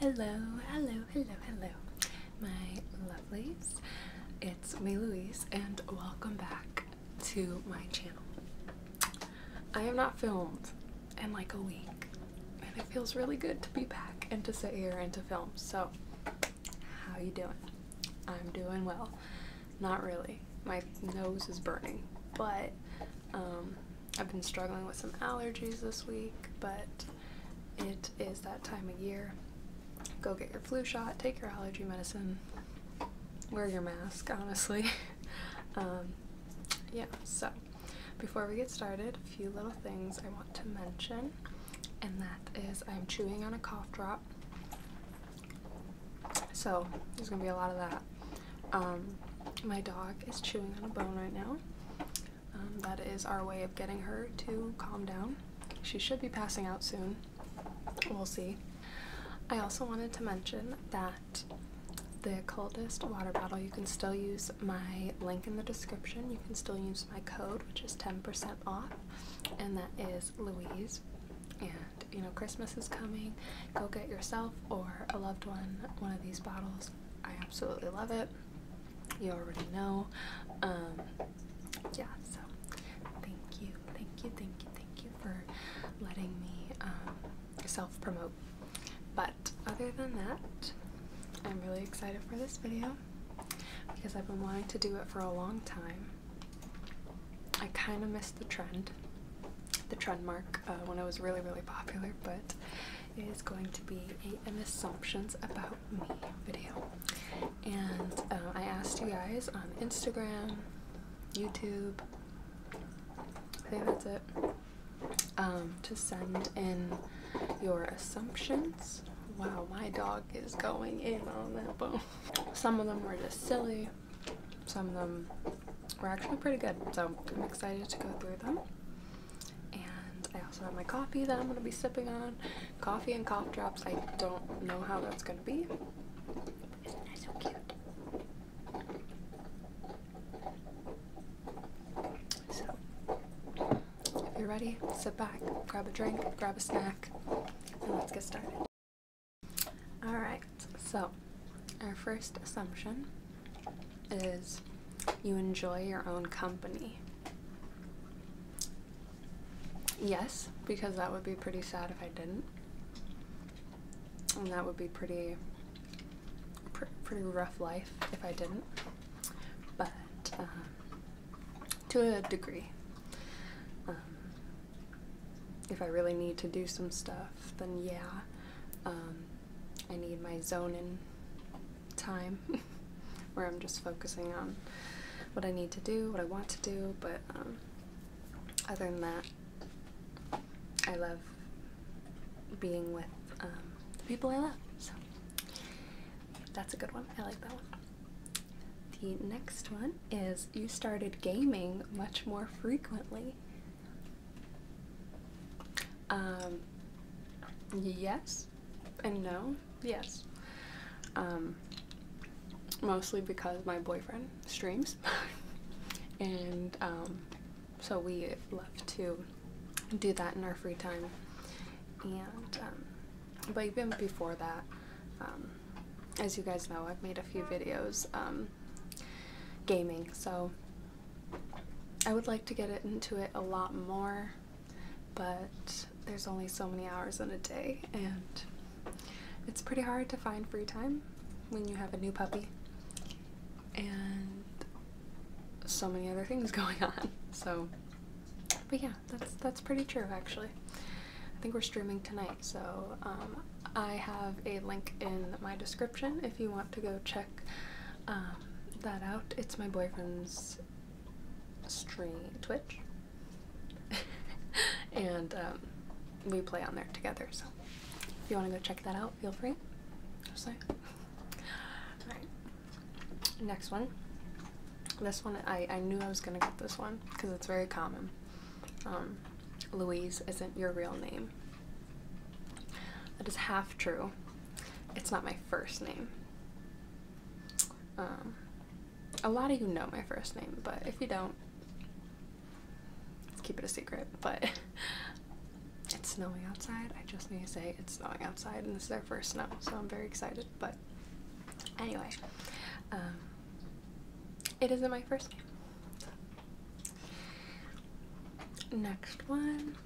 Hello, hello, hello, hello, my lovelies. It's me, Louise, and welcome back to my channel. I have not filmed in like a week, and it feels really good to be back and to sit here and to film. So, how you doing? I'm doing well. Not really. My nose is burning, but um, I've been struggling with some allergies this week, but it is that time of year. Go get your flu shot, take your allergy medicine, wear your mask, honestly. um, yeah, so before we get started, a few little things I want to mention, and that is I'm chewing on a cough drop. So there's gonna be a lot of that. Um, my dog is chewing on a bone right now. Um, that is our way of getting her to calm down. She should be passing out soon. We'll see. I also wanted to mention that the coldest water bottle, you can still use my link in the description. You can still use my code, which is 10% off, and that is Louise. And you know Christmas is coming, go get yourself or a loved one one of these bottles. I absolutely love it. You already know. Um, yeah, so thank you, thank you, thank you, thank you for letting me um, self promote. But other than that, I'm really excited for this video because I've been wanting to do it for a long time. I kind of missed the trend the trend mark uh, when it was really really popular, but it is going to be a, assumptions about me video. And uh, I asked you guys on Instagram, YouTube, I think that's it, um, to send in your assumptions. Wow, my dog is going in on that bone. Some of them were just silly, some of them are actually pretty good. So I'm excited to go through them. And I also have my coffee that I'm going to be sipping on. Coffee and cough drops. I don't know how that's going to be. Isn't that so cute? So, if you're ready, sit back, grab a drink, grab a snack, and let's get started. Alright, so our first assumption is you enjoy your own company. Yes, because that would be pretty sad if I didn't. And that would be pretty pretty rough life if I didn't. But um, to a degree. Um, if I really need to do some stuff, then yeah, um, I need my zoning time where I'm just focusing on what I need to do, what I want to do, but um, other than that, I love being with um, the people I love, so that's a good one. I like that one. The next one is you started gaming much more frequently. Um, yes and no. Yes. Um, mostly because my boyfriend streams. and um, so we love to do that in our free time. And, um, but even before that, um, as you guys know, I've made a few videos um, gaming. So I would like to get into it a lot more, but there's only so many hours in a day, and it's pretty hard to find free time when you have a new puppy and so many other things going on. So, but yeah, that's that's pretty true actually. I think we're streaming tonight, so um, I have a link in my description if you want to go check um, that out. It's my boyfriend's stream Twitch, and um, we play on there together. So if you want to go check that out, feel free. Just saying. Next one. This one, I, I knew I was going to get this one because it's very common. Um, Louise isn't your real name. That is half true. It's not my first name. Um, a lot of you know my first name, but if you don't, let's keep it a secret. But it's snowing outside. I just need to say it's snowing outside, and this is our first snow, so I'm very excited. But anyway, um, it isn't my first name. Next one.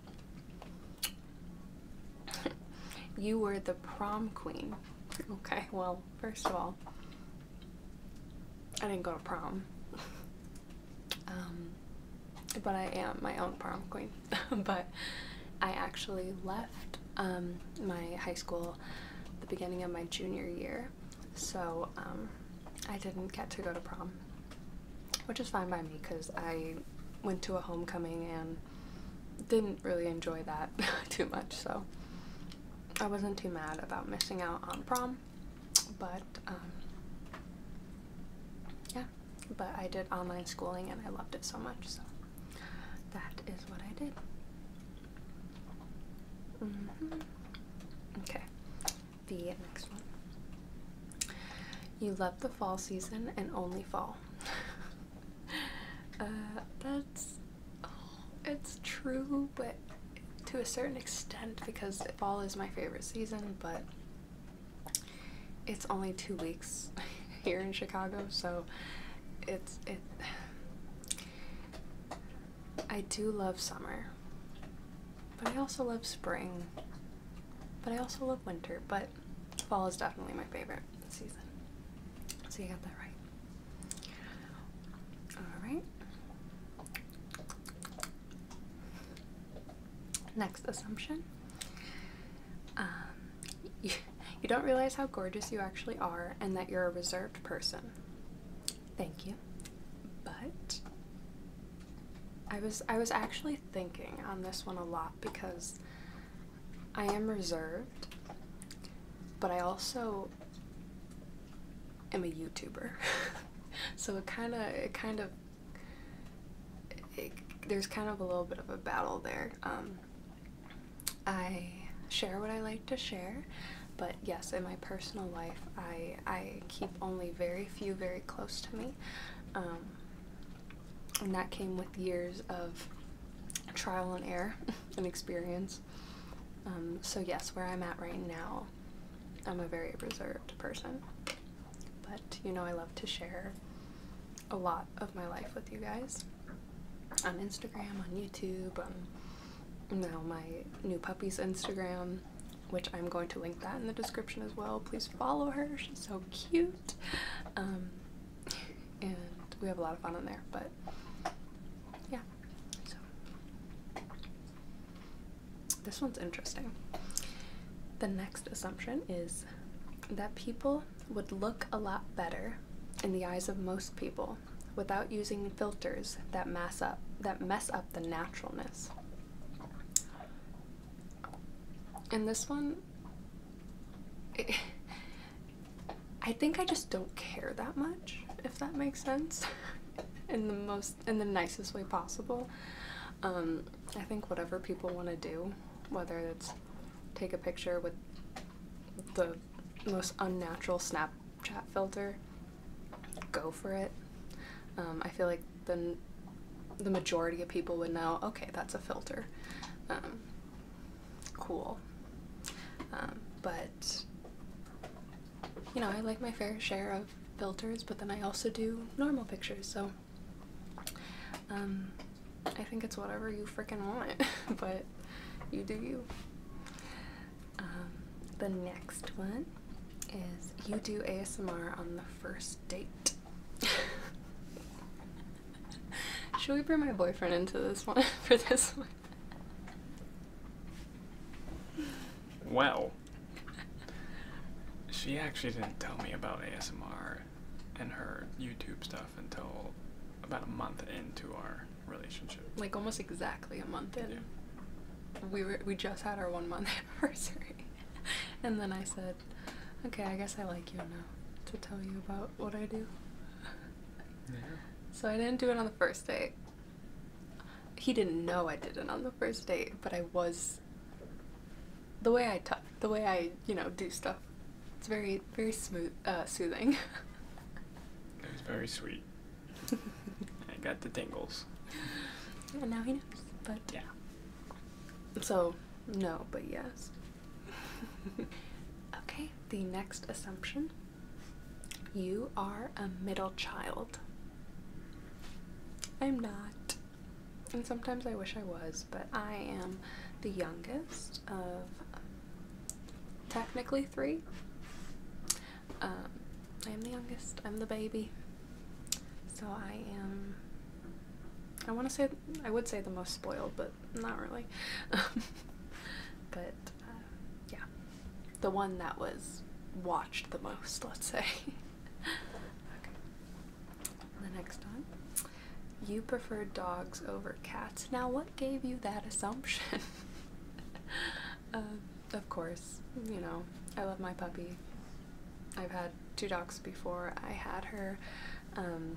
you were the prom queen. Okay, well, first of all, I didn't go to prom. um, but I am my own prom queen. but I actually left um, my high school the beginning of my junior year. So um, I didn't get to go to prom, which is fine by me because I went to a homecoming and didn't really enjoy that too much, so I wasn't too mad about missing out on prom, but um, yeah, but I did online schooling and I loved it so much, so that is what I did. Mm-hmm. Okay, the next one. You love the fall season and only fall. Uh, that's it's true, but to a certain extent because fall is my favorite season, but it's only two weeks here in Chicago, so it's it. I do love summer, but I also love spring, but I also love winter, but fall is definitely my favorite season. So you got that right. Alright. Next assumption. Um, you don't realize how gorgeous you actually are and that you're a reserved person. Thank you. But I was I was actually thinking on this one a lot because I am reserved, but I also am a YouTuber. so it kind of it kind of there's kind of a little bit of a battle there. Um, I share what I like to share, but yes, in my personal life, I I keep only very few very close to me, um, and that came with years of trial and error and experience. Um, so yes, where I'm at right now, I'm a very reserved person. But you know, I love to share a lot of my life with you guys on Instagram, on YouTube, um, now my new puppy's Instagram, which I'm going to link that in the description as well. Please follow her, she's so cute. Um, and we have a lot of fun on there, but yeah. So this one's interesting. The next assumption is that people would look a lot better in the eyes of most people without using filters that mess up that mess up the naturalness. In this one I think I just don't care that much, if that makes sense. in the most in the nicest way possible. Um, I think whatever people want to do, whether it's take a picture with the most unnatural snap chat filter, go for it. Um, I feel like the, the majority of people would know, okay, that's a filter. Um, cool. Um, but, you know, I like my fair share of filters, but then I also do normal pictures, so I think it's whatever you freaking want, but you do you. Um, the next one is you do ASMR on the first date. Should we bring my boyfriend into this one for this one? Well, she actually didn't tell me about ASMR and her YouTube stuff until about a month into our relationship. Like almost exactly a month in. We were we just had our one month anniversary, and then I said, "Okay, I guess I like you now to tell you about what I do." So I didn't do it on the first date. He didn't know I did not on the first date, but I was. The way I talk, the way I you know do stuff, it's very very smooth, uh, soothing. it was very sweet. I got the tingles. And now he knows. But yeah. So, no, but yes. okay, the next assumption. You are a middle child. I'm not. And sometimes I wish I was, but I am the youngest of technically three. Um, I am the youngest. I'm the baby. So I am. I want to say I would say the most spoiled, but not really. Um, but uh, yeah, the one that was watched the most, let's say. okay. The next one. You prefer dogs over cats. Now, what gave you that assumption? Uh, of course, you know, I love my puppy. I've had two dogs before I had her. Um,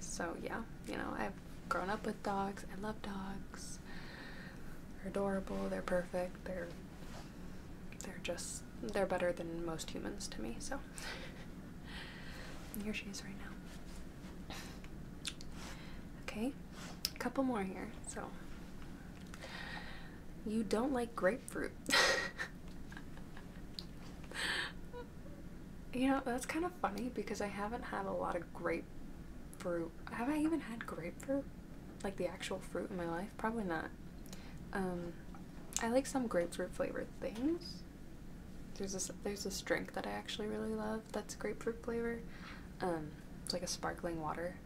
so, yeah, you know, I've grown up with dogs. I love dogs. They're adorable, they're perfect, they're they're just they're better than most humans to me, so here she is right now. Okay, a couple more here. So, you don't like grapefruit. you know, that's kind of funny because I haven't had a lot of grapefruit. Have I even had grapefruit? Like the actual fruit in my life? Probably not. Um, I like some grapefruit flavored things. There's this there's this drink that I actually really love have that's grapefruit flavor. Um, it's like a sparkling water.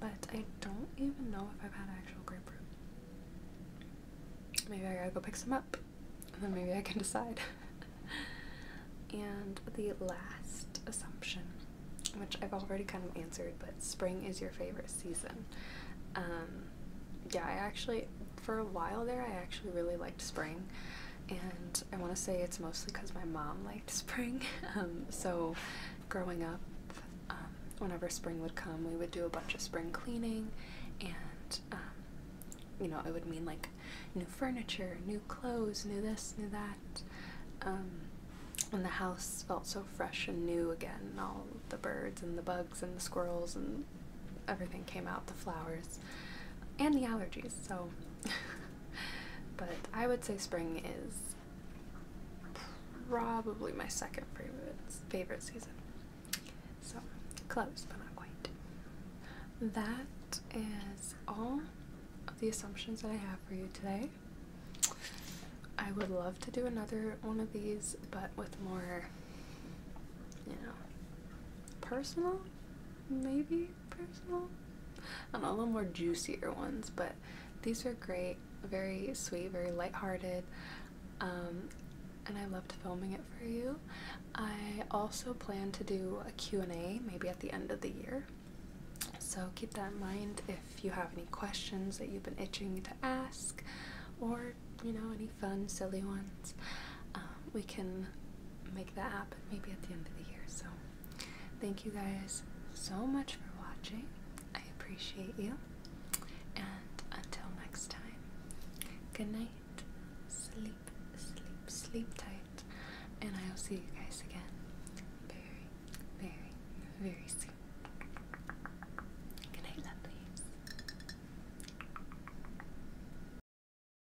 But I don't even know if I've had actual grapefruit. Maybe I gotta go pick some up. And then maybe I can decide. and the last assumption, which I've already kind of answered, but spring is your favorite season. Um, yeah, I actually, for a while there, I actually really liked spring and I want to say it's mostly because my mom liked spring. Um, so, growing up, um, whenever spring would come, we would do a bunch of spring cleaning, and um, you know, it would mean like new furniture, new clothes, new this, new that. and the house felt so fresh and new again, and all the birds and the bugs and the squirrels and everything came out, the flowers and the allergies. So but I would say spring is probably my second favorite favorite season. So close, but not quite. That is all of the assumptions that I have for you today. I would love to do another one of these, but with more, you know, personal, maybe personal. I don't know, a little more juicier ones, but these are great. Very sweet, very lighthearted. Um, and I loved filming it for you. I also plan to do a Q&A maybe at the end of the year. So keep that in mind if you have any questions that you've been itching to ask or, you know, any fun, silly ones. Um, we can make that happen maybe at the end of the year. So, thank you guys so much for watching. I appreciate you. And until next time, good night. Sleep, sleep, sleep tight. And I will see you guys again very, very, very soon. Good night, lovelies.